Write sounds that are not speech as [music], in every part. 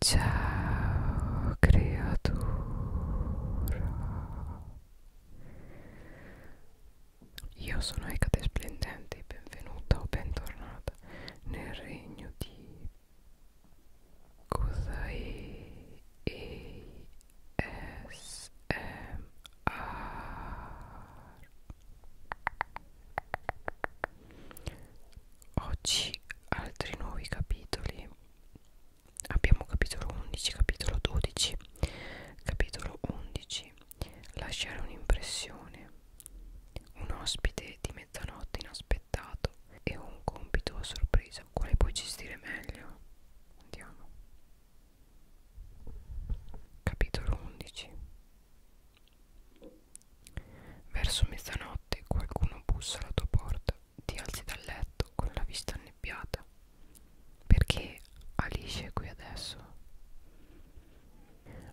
Ciao creatura Io sono Ecate Splendente benvenuta o bentornata nel regno di Kozai e A oggi altri nuovi capitoli abbiamo capitolo 11 capitolo 12 capitolo 11 lasciare un'impressione un ospite di mezzanotte inaspettato e un compito a sorpresa quale puoi gestire meglio andiamo capitolo 11 Verso mezzanotte qualcuno bussa alla tua porta, ti alzi dal letto con la vista annebbiata. Perché Alice è qui adesso?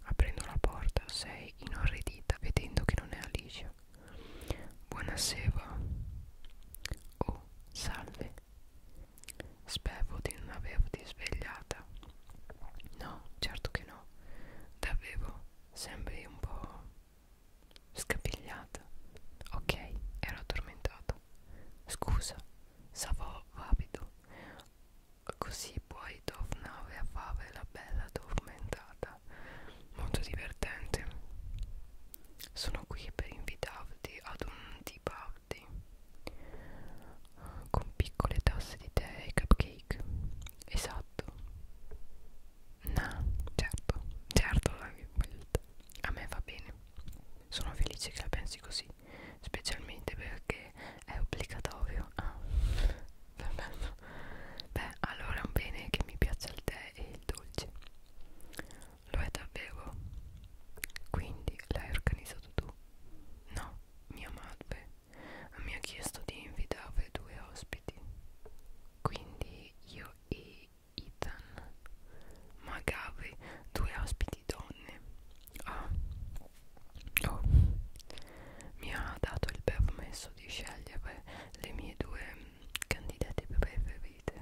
Aprendo la porta sei inorridita vedendo che non è Alice. Buonasera. Oh, salve. Spevo di non averti svegliata. No, certo che no. Davvero, sembri un po' Scapigliata. Ok, ero addormentata. Scusa, stavo vavido. Così poi tornare a fare la bella addormentata. Molto divertente. Sono qui per invitarti ad un tea party con piccole tasse di tè e cupcake. Esatto. No, certo, certo, a me va bene. Sono felice che la pensi così, specialmente perché è obbligatorio. Ah, perfetto. Beh, allora è un bene che mi piaccia il tè e il dolce. Lo è davvero. Quindi l'hai organizzato tu? No, mia madre mi ha chiesto di invitare due ospiti. Quindi e io e Ethan Magave, due ospiti donne ah. oh. mi ha dato il permesso di scegliere le mie due candidate preferite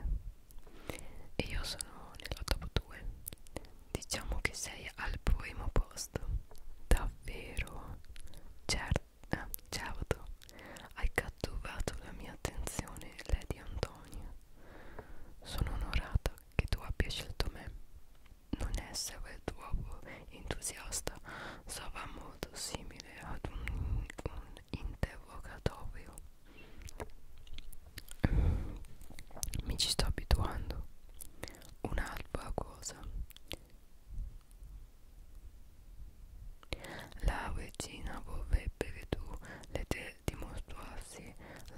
e io sono nella top 2 diciamo che sei al primo posto davvero certo Ah, certo, hai catturato la mia attenzione, Lady Antonia. Sono onorata che tu abbia scelto me. Non essere troppo entusiasta sarà molto simile ad un, un interrogatorio. Mi ci sto abituando. Un'altra cosa. La regina vorrebbe che tu le te dimostrassi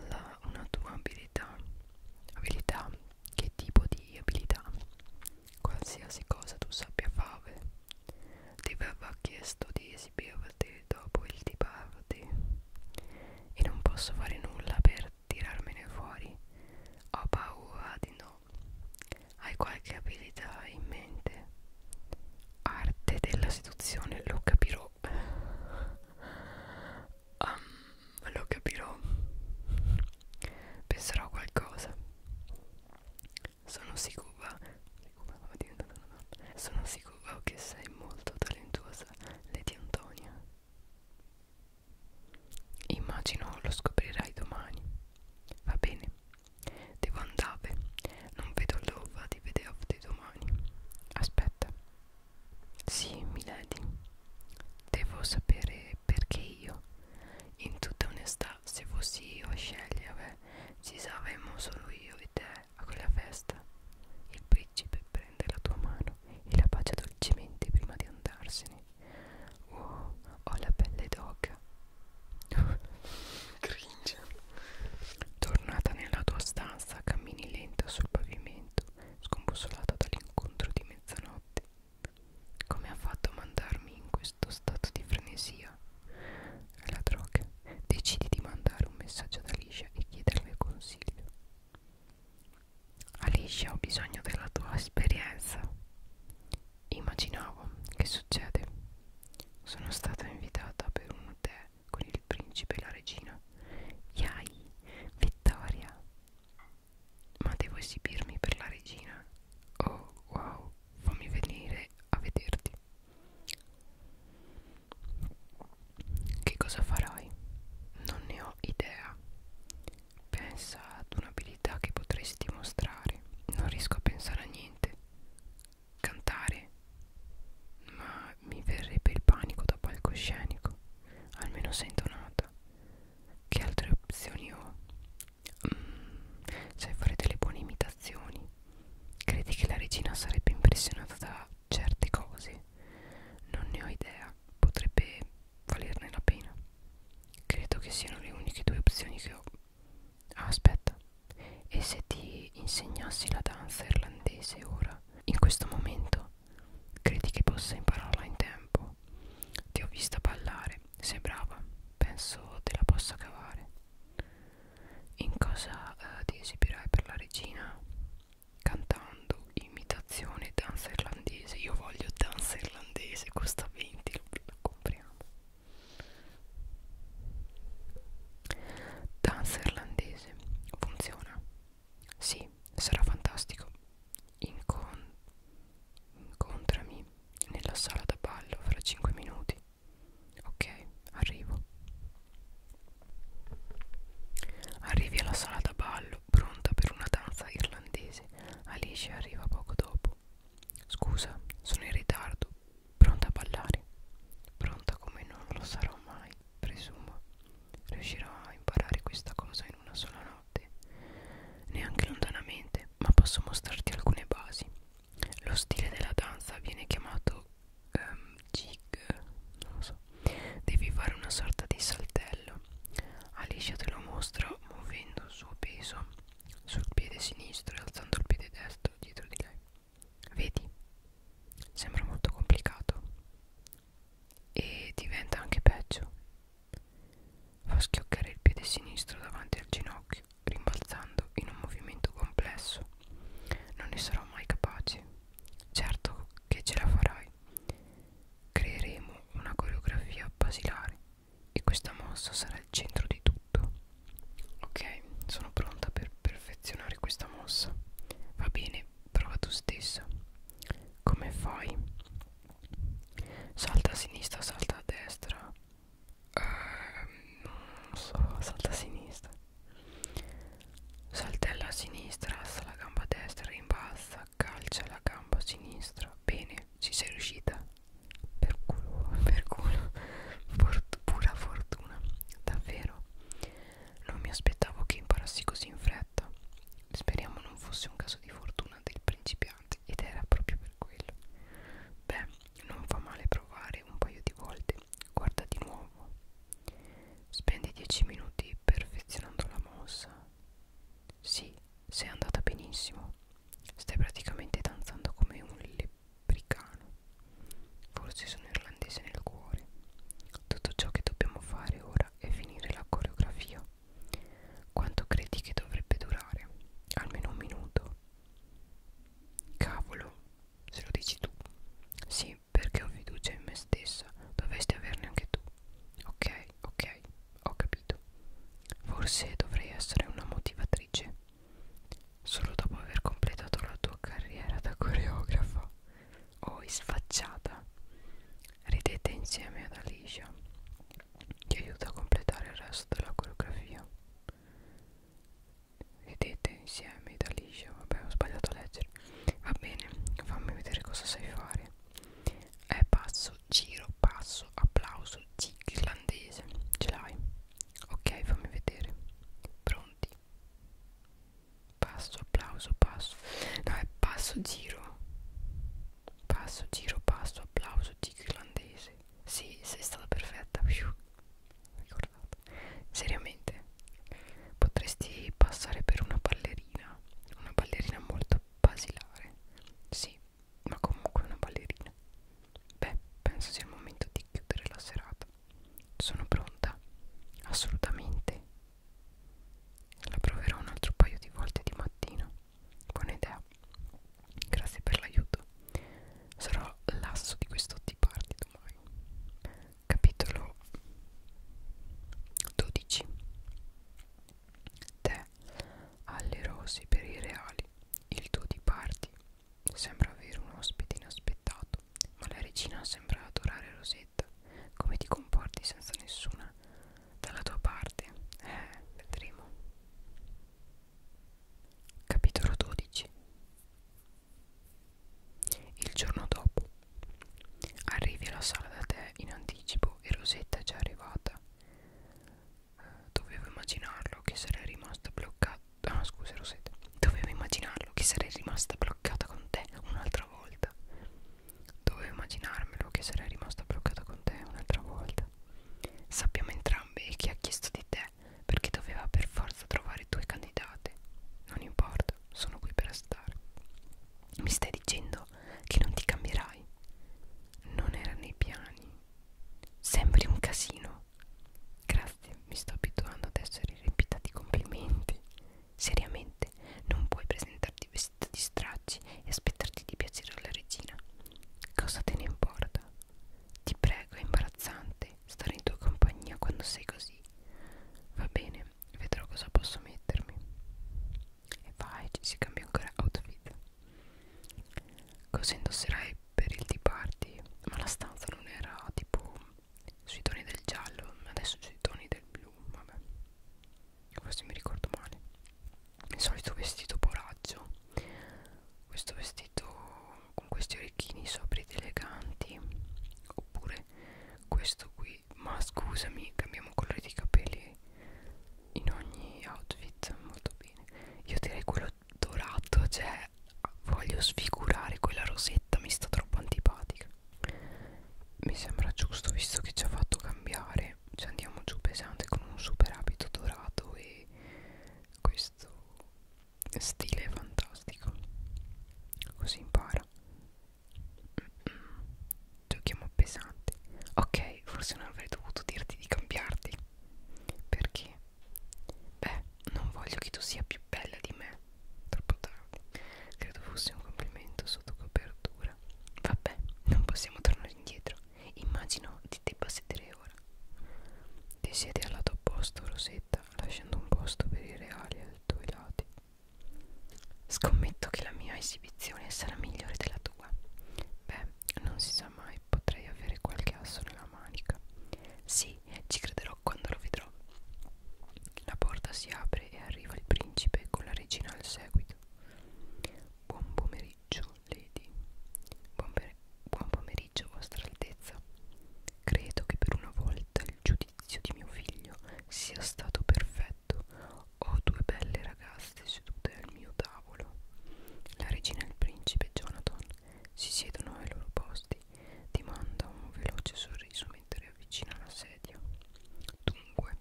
la, una tua abilità. Abilità? Che tipo di abilità? Qualsiasi cosa tu sappia fare. Ti verrà chiesto di esibirti dopo il diparti. E non posso fare nulla per tirarmene fuori. Ho paura di no hai qualche abilità in mente? Arte della seduzione, lo capirò. Um, lo capirò. Penserò a qualcosa. Sono sicura. Sono sicura che sei molto talentuosa, Lady Antonia. Immagino lo scoprirai domani. Va bene, Devo andare, non vedo l'ora di vederti domani. Aspetta. Sì, milady. Devo sapere perché io. In tutta onestà, se fossi io a scegliere, ci saremmo solo io e te a quella festa. Il principe prende la tua mano e la bacia dolcemente prima di andarsene. Oh, ho la pelle d'oca, Cringe. Tornata nella tua stanza, cammini lenta sul pavimento, scombussolata dall'incontro di mezzanotte. Come ha fatto a mandarmi in questo stato di frenesia? La droga. Decidi di mandare un messaggio ad Alicia e chiederle consiglio. Alicia, ho bisogno della tua esperienza. Immaginavo che succede. Sono stata invitata per un tè con il principe e la regina. Yai, vittoria! Ma devo esibirmi per la regina? Oh, wow, fammi venire a vederti. Che cosa farai? Non ne ho idea. Pensa ad un'abilità che potresti mostrare. Non riesco a pensare a niente cantare ma mi verrebbe il panico da palcoscenico almeno sei intonata che altre opzioni ho? Mm, sai fare delle buone imitazioni credi che la regina sarebbe impressionata da certe cose? non ne ho idea potrebbe valerne la pena credo che siano le uniche due opzioni che ho Ah, aspetta. E se ti insegnassi la danza irlandese ora, in questo momento? Credi che possa impararla in tempo? Ti ho vista ballare, sei brava, penso te la possa cavare. In cosa eh, ti esibirai per la regina? Cantando imitazione danza irlandese. Io voglio danza irlandese, costa 20, lo, lo compriamo. Danza irlandese funziona? Sì, sarà fantastico. Incon incontrami nella sala da ballo fra 5 minuti. Ok, arrivo. Arrivi alla sala da ballo, pronta per una danza irlandese. Alice arriva poco dopo. Scusa, sono in ritardo. Pronta a ballare, pronta come non lo sarò mai, presumo. Riuscirò a imparare questa cosa in una sola notte, neanche lontanamente, ma posso mostrarti alcune basi. Lo stile della danza viene chiamato um, jig, non lo so. Devi fare una sorta di saltello. Alicia te lo mostra muovendo il suo peso sul piede sinistro e alzando il piede destro dietro di lei. Vedi, sembra molto complicato e diventa anche peggio. Fa schioccare il piede sinistro davanti al ginocchio, rimbalzando in un movimento complesso. Non ne sarò mai capace. Certo che ce la farai. Creeremo una coreografia basilare e questa mossa sarà il centro di tutto tutto ok sono pronta per perfezionare questa mossa va bene prova tu stessa come fai salta a sinistra salta a destra ehm, non so salta a sinistra saltella a sinistra alza la gamba a destra rimbalza calcia la gamba a sinistra bene ci sei riuscita per culo, per culo, Fort pura fortuna, davvero. Non mi aspettavo che imparassi così in fretta. Speriamo non fosse un caso di fortuna dei principianti, ed era proprio per quello. Beh, non fa male provare un paio di volte. Guarda di nuovo. Spendi 10 minuti perfezionando la mossa. Sì, sei andata benissimo. Stai praticamente danzando come un lepricano. Forse sono irlandese nel cuore. Tutto ciò che dobbiamo fare ora è finire la coreografia. Quanto credi che dovrebbe durare? Almeno un minuto. Cavolo, se lo dici tu. Sì, perché ho fiducia in me stessa. Dovresti averne anche tu. Ok, ok, ho capito. Forse dovrei essere una motivatrice. Solo dopo aver completato la tua carriera da coreografa o oh, sfacciata, ridete insieme ad Alicia, ti aiuta a completare il resto della coreografia. Ridete insieme ad Alicia, vabbè ho sbagliato a leggere. Va bene, fammi vedere cosa sai fare. È passo, giro, passo, applauso, tic, irlandese, ce l'hai? Ok, fammi vedere. Pronti? Passo, applauso, passo. No, è passo, giro. Passo, giro, passo, applauso, tic irlandese. Sì, sei stata perfetta. Fiu. Ricordato. Seriamente, potresti passare per una ballerina. Una ballerina molto basilare. Sì, ma comunque una ballerina. Beh, penso sia il momento di chiudere la serata. Sono pronta, assolutamente. La proverò un altro paio di volte di mattina. Buona idea. Grazie per l'aiuto. Sarò l'asso di questo Tea Party domani. Capitolo 12 Te alle rose per i reali. Il tuo Tea Party Sembra avere un ospite inaspettato, ma la regina sembra adorare Rosetta. Come ti comporti senza nessuna dalla tua parte? Eh, vedremo. Capitolo 12 Il giorno dopo arrivi alla sala da te in anticipo e Rosetta è già arrivata. Eh, dovevo immaginarlo che sarei rimasta bloccata Ah scusa Rosetta Dovevo immaginarlo che sarei rimasta bloccata con te un'altra volta Dovevo immaginarmelo che sarei rimasta bloccata con te un'altra volta Sappiamo entrambi chi ha chiesto di te Perché doveva per forza trovare due candidate Non importa, sono qui per stare Mi stai dicendo che non ti cambierai? Non era nei piani Sembri un casino Grazie, mi sto abituando ad essere riempita di complimenti. Seriamente, non puoi presentarti vestita di stracci e aspettarti di piacere alla regina. Cosa te ne importa? Ti prego, è imbarazzante stare in tua compagnia quando sei così. Va bene, vedrò cosa posso mettermi. E vai, ci si cambia ancora outfit. Cosa indosserai per il tea party? Ma la stanza non era tipo sui toni del giallo adesso sui toni del blu vabbè questo mi ricordo male il solito vestito poraggio questo vestito con questi orecchini sopra eleganti oppure questo qui ma scusami cambiamo colore di capelli in ogni outfit molto bene io direi quello dorato cioè cioè voglio sfigurare quella rosetta mi sta troppo antipatica mi sembra giusto visto che ci ha fatto cambiare ci andiamo giù pesante con un super abito dorato e questo stile fantastico così impara giochiamo pesante ok forse non avrei dovuto dirti di cambiarti perché Beh, non voglio che tu sia più bella di me. Troppo tardi. Credo fosse un complimento sotto copertura. Vabbè, non possiamo tornare indietro. Immagino ti debba sedere ora. Ti siedi al lato opposto, Rosetta, lasciando un posto per i reali ai tuoi lati. Scommetto che la mia esibizione sarà migliore della tua. Beh, non si sa mai, potrei avere qualche asso nella manica. Sì, ci crederò dirò quando lo vedrò. La porta si apre e arriva il principe con la regina al seguito. Buon pomeriggio, Lady. Buon, buon pomeriggio, Vostra Altezza. Credo che per una volta il giudizio di mio figlio sia stato perfetto. Ho due belle ragazze sedute al mio tavolo. La regina e il principe Jonathan si siedono ai loro posti ti manda un veloce sorriso mentre avvicina la sedia. Dunque,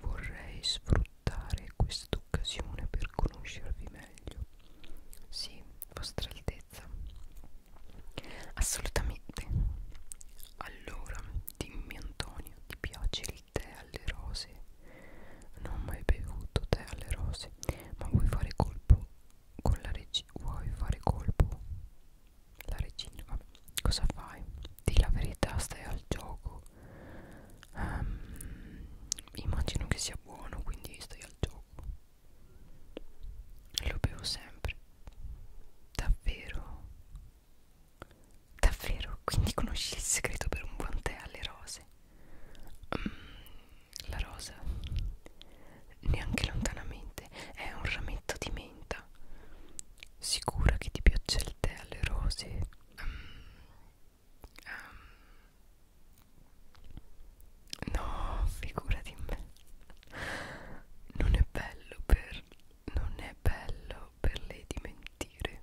vorrei sfruttare quest'occasione per conoscervi meglio. Sì, vostra altezza. Assolutamente. Allora, dimmi Antonio, ti piace il tè alle rose? Non ho mai bevuto tè alle rose, ma vuoi fare colpo con la regina vuoi fare colpo? La regina, vabbè, cosa fai? Di la verità, stai al gioco. Um, immagino che sia buono, quindi stai al gioco. Lo bevo sempre. Davvero? Davvero? Quindi conosci il segreto per un buon tè alle rose? Mm, la rosa, neanche lontanamente, è un rametto di menta. Sicura che ti piaccia il tè alle rose? Um, um. No, figurati in me. Non è bello per... non è bello per lei dimentire.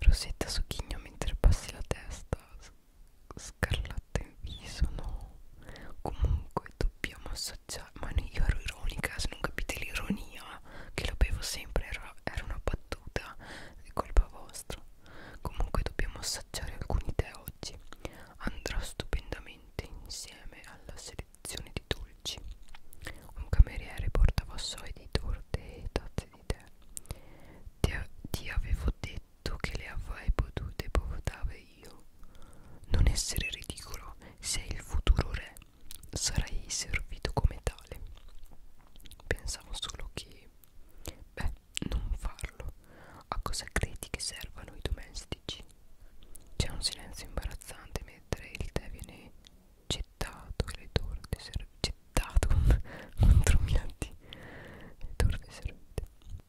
Rosetta sogghigna mentre passi la testa scarlata fatta in viso no comunque dobbiamo assaggiare ma io ero ironica se non capite l'ironia che lo bevo sempre era, era una battuta è colpa vostra comunque dobbiamo assaggiare alcuni tè oggi andrà stupendamente insieme alla selezione di dolci un cameriere porta vassoi di torte e tazze di tè ti, ti avevo detto che le avrei potute portare io. Non essere ridicolo, sei il futuro re, sarai servito come tale. Pensavo solo che... Beh, non farlo. A cosa credi che servano i domestici? C'è un silenzio imbarazzante mentre il tè viene gettato e le torte servite. Gettato [laughs] contro Milati. Le torte servite.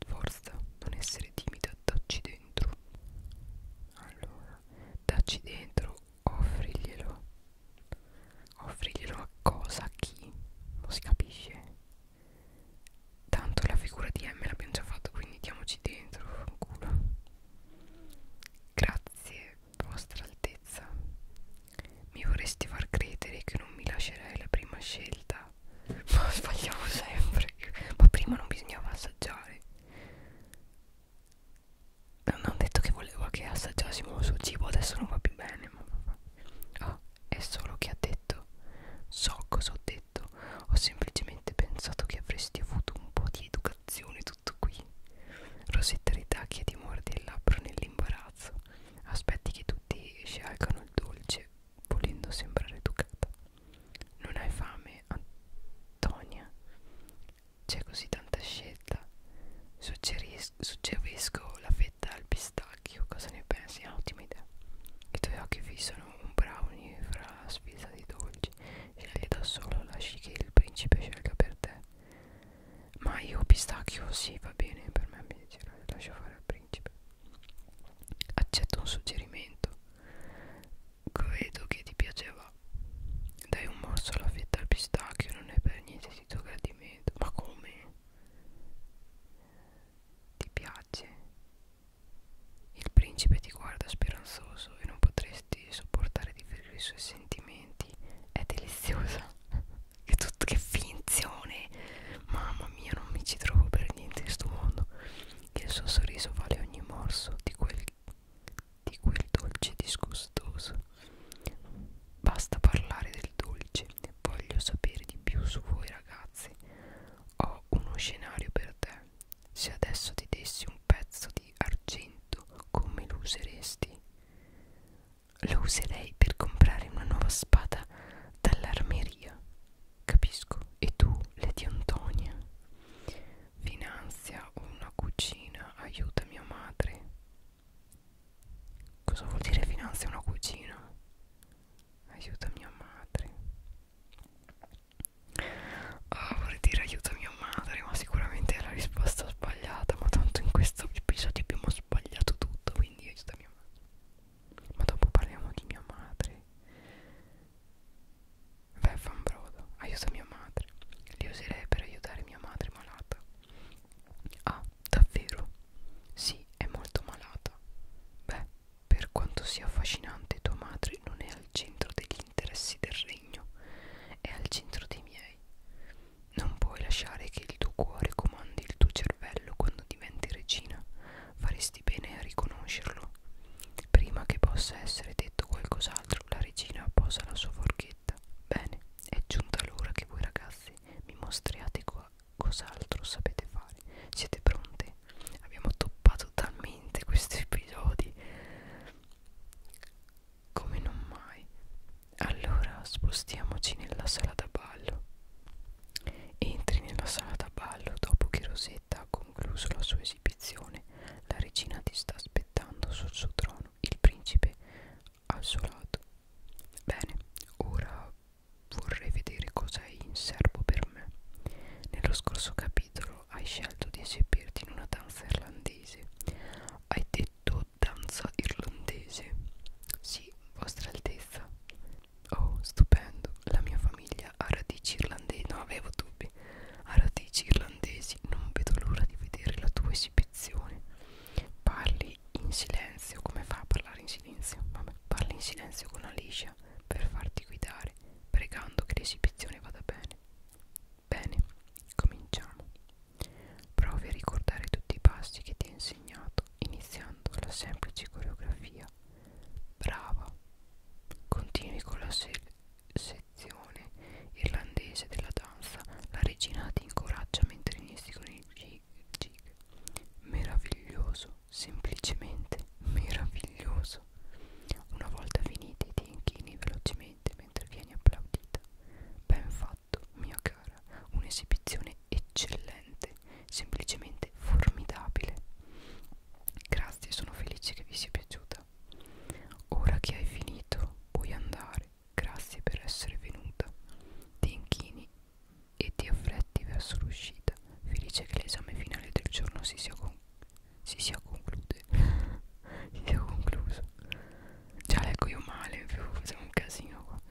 Forza, non essere timida, dacci dentro. Allora, dacci dentro, offriglielo. Offriglielo a cosa, a chi? Non si capisce. Tanto la figura di M l'abbiamo già fatta, quindi diamoci dentro, fanculo. Grazie, vostra altezza. Mi vorresti far credere che non mi lascerai la prima scelta ma [laughs] sbagliamo sempre ma prima non bisognava assaggiare non ho detto che voleva che assaggiassimo il suo cibo adesso non va più bene ah, è solo che ha detto so cosa ho detto ho semplicemente pensato che avresti avuto un po' di educazione tutto qui Rosetta ritacchia di mordi il labbro nell'imbarazzo aspetti che tutti scialcano il dolce volendo sembrare educata non hai fame, Antonia? C'è così tanta scelta. Suggeris suggerisco la fetta al pistacchio. Cosa ne pensi? Ah, ottima idea. I tuoi occhi fissano un brownie fra sfisa di dolci. Scegli da solo, lasci che il principe scelga per te. Ma io pistacchio, sì, va bene, per me mi piacerà. Lascio fare al principe. Accetto un suggerimento. Credo che ti piacerà. Dai un morso alla fetta al pistacchio, non è per niente di tuo gradimento. Ma come? Ti piace? Il principe ti guarda speranzoso e non potresti sopportare di vedere i suoi sentimenti. È deliziosa. [laughs] che, tutto, che finzione! Mamma mia, non mi ci trovo per niente in questo mondo che il suo sorriso vale ogni morso di quel, di quel dolce disgustoso. Basta parlare del dolce, voglio sapere di più su voi ragazzi. Ho uno scenario per te. Se adesso ti dessi un pezzo di argento, come lo useresti? Lo userei per comprare una nuova spada dall'armeria. Capisco. E tu, Lady Antonia? Finanzia una cucina, aiuta mia madre. Cosa vuol dire finanzia una cucina? Aiuta mia madre. Oh, vorrei dire aiuta mia madre, ma sicuramente è la risposta sbagliata. Ma tanto in questo episodio abbiamo sbagliato tutto, quindi aiuta mia madre. Ma dopo parliamo di mia madre Vai fa un brodo, aiuta mia madre. Li userei per aiutare mia madre malata. Ah, davvero? Sì, è molto malata. Beh, per quanto sia affascinante, tua madre non è al centro degli interessi del regno, è al centro dei miei. Non puoi lasciare che il tuo cuore comandi il tuo cervello quando diventi regina faresti bene a riconoscerlo. Prima che possa essere detto qualcos'altro, la regina posa la sua forchetta. Bene, è giunta l'ora che voi ragazzi mi mostriate co cos'altro sapete fare. Siete pronti? Abbiamo toppato talmente questi episodi come non mai. Allora spostiamoci nella sala da ballo. Entri nella sala da ballo dopo che Rosetta ha concluso la sua esibizione la regina ti sta aspettando sul suo trono il principe al suo lato bene ora vorrei vedere cosa hai in serbo per me nello scorso capitolo hai scelto di esibirti in una danza irlandese hai detto danza irlandese sì vostra altezza oh stupendo la mia famiglia somiglia a radici irlandesi non avevo dubbi a radici irlandesi non vedo l'ora di vedere la tua esibizione parli in silenzio come fa a parlare in silenzio? Vabbè, parli in silenzio con Alicia per farti guidare pregando che l'esibizione vada bene bene cominciamo provi a ricordare tutti i passi che ti ho insegnato iniziando la semplice coreografia brava continui con la, sezione irlandese della danza, la regina ti incoraggia mentre inizi con il gig. Meraviglioso, semplicemente meraviglioso. Una volta finiti ti inchini velocemente mentre vieni applaudita. Ben fatto, mia cara, un'esibizione eccellente, semplicemente formidabile. Grazie, sono felice che vi sia piaciuta. Ora che hai finito, puoi andare. Grazie per essere venuta. Ti inchini e ti affretti verso l'uscita. Felice che l'esame finale del giorno si sia, con si sia, [laughs] si sia concluso. Già leggo io male, facciamo un casino qua.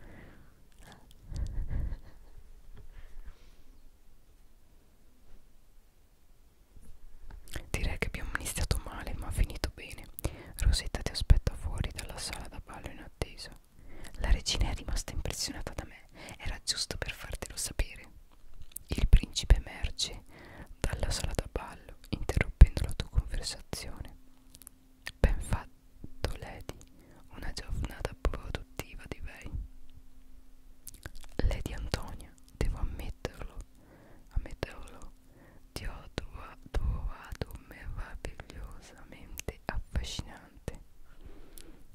Direi che abbiamo iniziato male ma finito bene. Rosetta ti aspetta fuori dalla sala da ballo in attesa. La regina è rimasta impressionata da me, era giusto per fartelo sapere. Il principe emerge dalla sala da ballo, interrompendo la tua conversazione. Ben fatto, Lady, una giornata produttiva di lei. Lady Antonia, devo ammetterlo, ammetterlo, ti ho trovato meravigliosamente affascinante.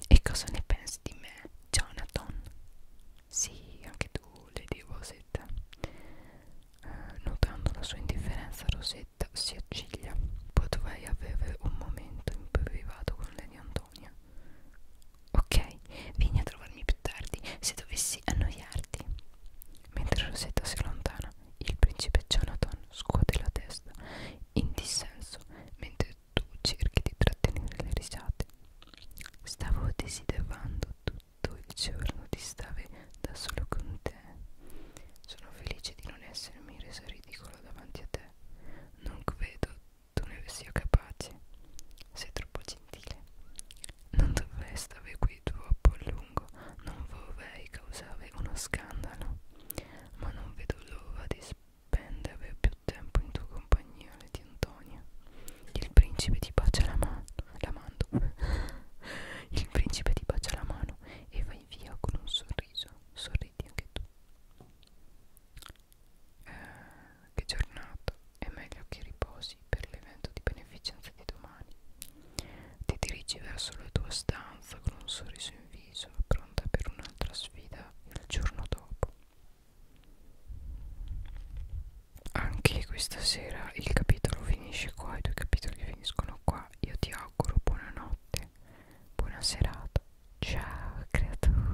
E cosa ne pensi di me, Jonathan? Sì, anche tu, Lady Rosetta. Eh, notando la sua indifferenza, Rosetta si acciglia. Potrei avere un momento in privato con Lady Antonia. Ok, vieni a trovarmi più tardi se dovessi annoiarti. Mentre Rosetta si allontana, il principe Jonathan scuote la testa in dissenso mentre tu cerchi di trattenere le risate. Stavo desiderando tutto il giorno di stare da solo con te. Sono felice di non essermi resa ridicola davanti a te. Non vedo tu ne sia capace. Sei troppo gentile. Non dovrei stare qui troppo a lungo, non vorrei causare uno scandalo, ma non vedo l'ora di spendere più tempo in tua compagnia, Lady Antonia. Il principe ti bacia la mano, la mando. [laughs] Il principe ti bacia la mano e vai via con un sorriso. Sorridi anche tu eh, che giornata è meglio che riposi per l'evento di beneficenza di domani ti dirigi verso la tua stanza con un sorriso in viso pronta per un'altra sfida il giorno dopo anche questa sera il capitolo finisce qua i due capitoli finiscono qua io ti auguro buonanotte buona serata ciao creatura